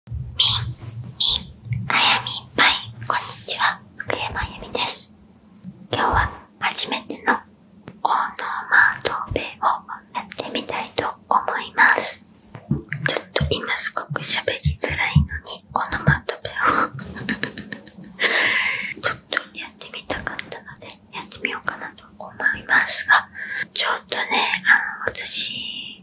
み、み、あやみぱい、こんにちは、福山由美です。今日は初めてのオノマトペをやってみたいと思います。ちょっと今すごく喋りづらいのに、オノマートペをちょっとやってみたかったので、やってみようかなと思いますが、ちょっとね、あの、私、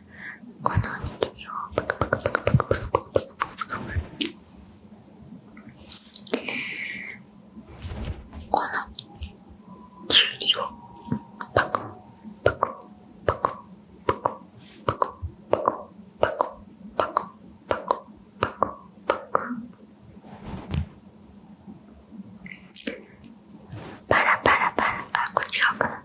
このおにぎりをパクパクパクパクパクパクパクパクこのきゅうりをパクパクパクパクパクパクパクパクパクパクパクパラパラパラあこっち側かな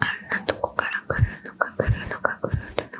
あんなとこから来るのか来るのか来るの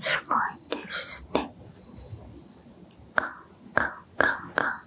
すごいですね。カンカンカンカン。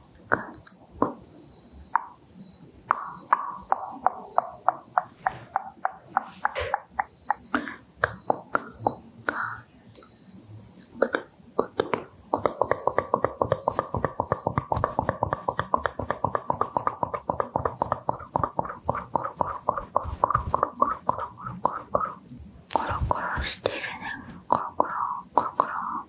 コロコロしてるねコロコロコロコロ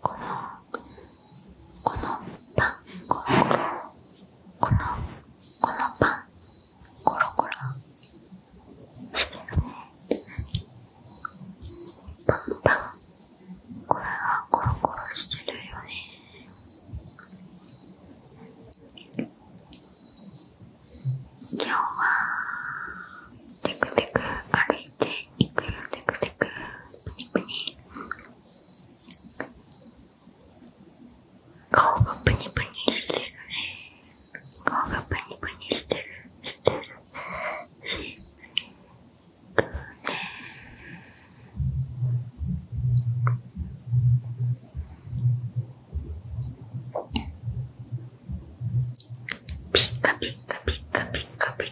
このこのパンこのこのこのパンコロコロしてるねパンパンこれはコロコロしてるよね今日はテクテク歩いていくよテクテクしてくプニプニ顔がプニプニしてるね顔がプニプニしてるしてるしてるねピッカピッカピッカピッカピ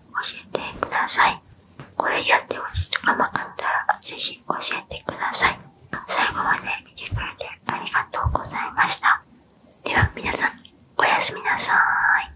教えてください。これやってほしいとかったら、ぜひ教えてください。最後まで見てくれてありがとうございました。では皆さん、おやすみなさーい。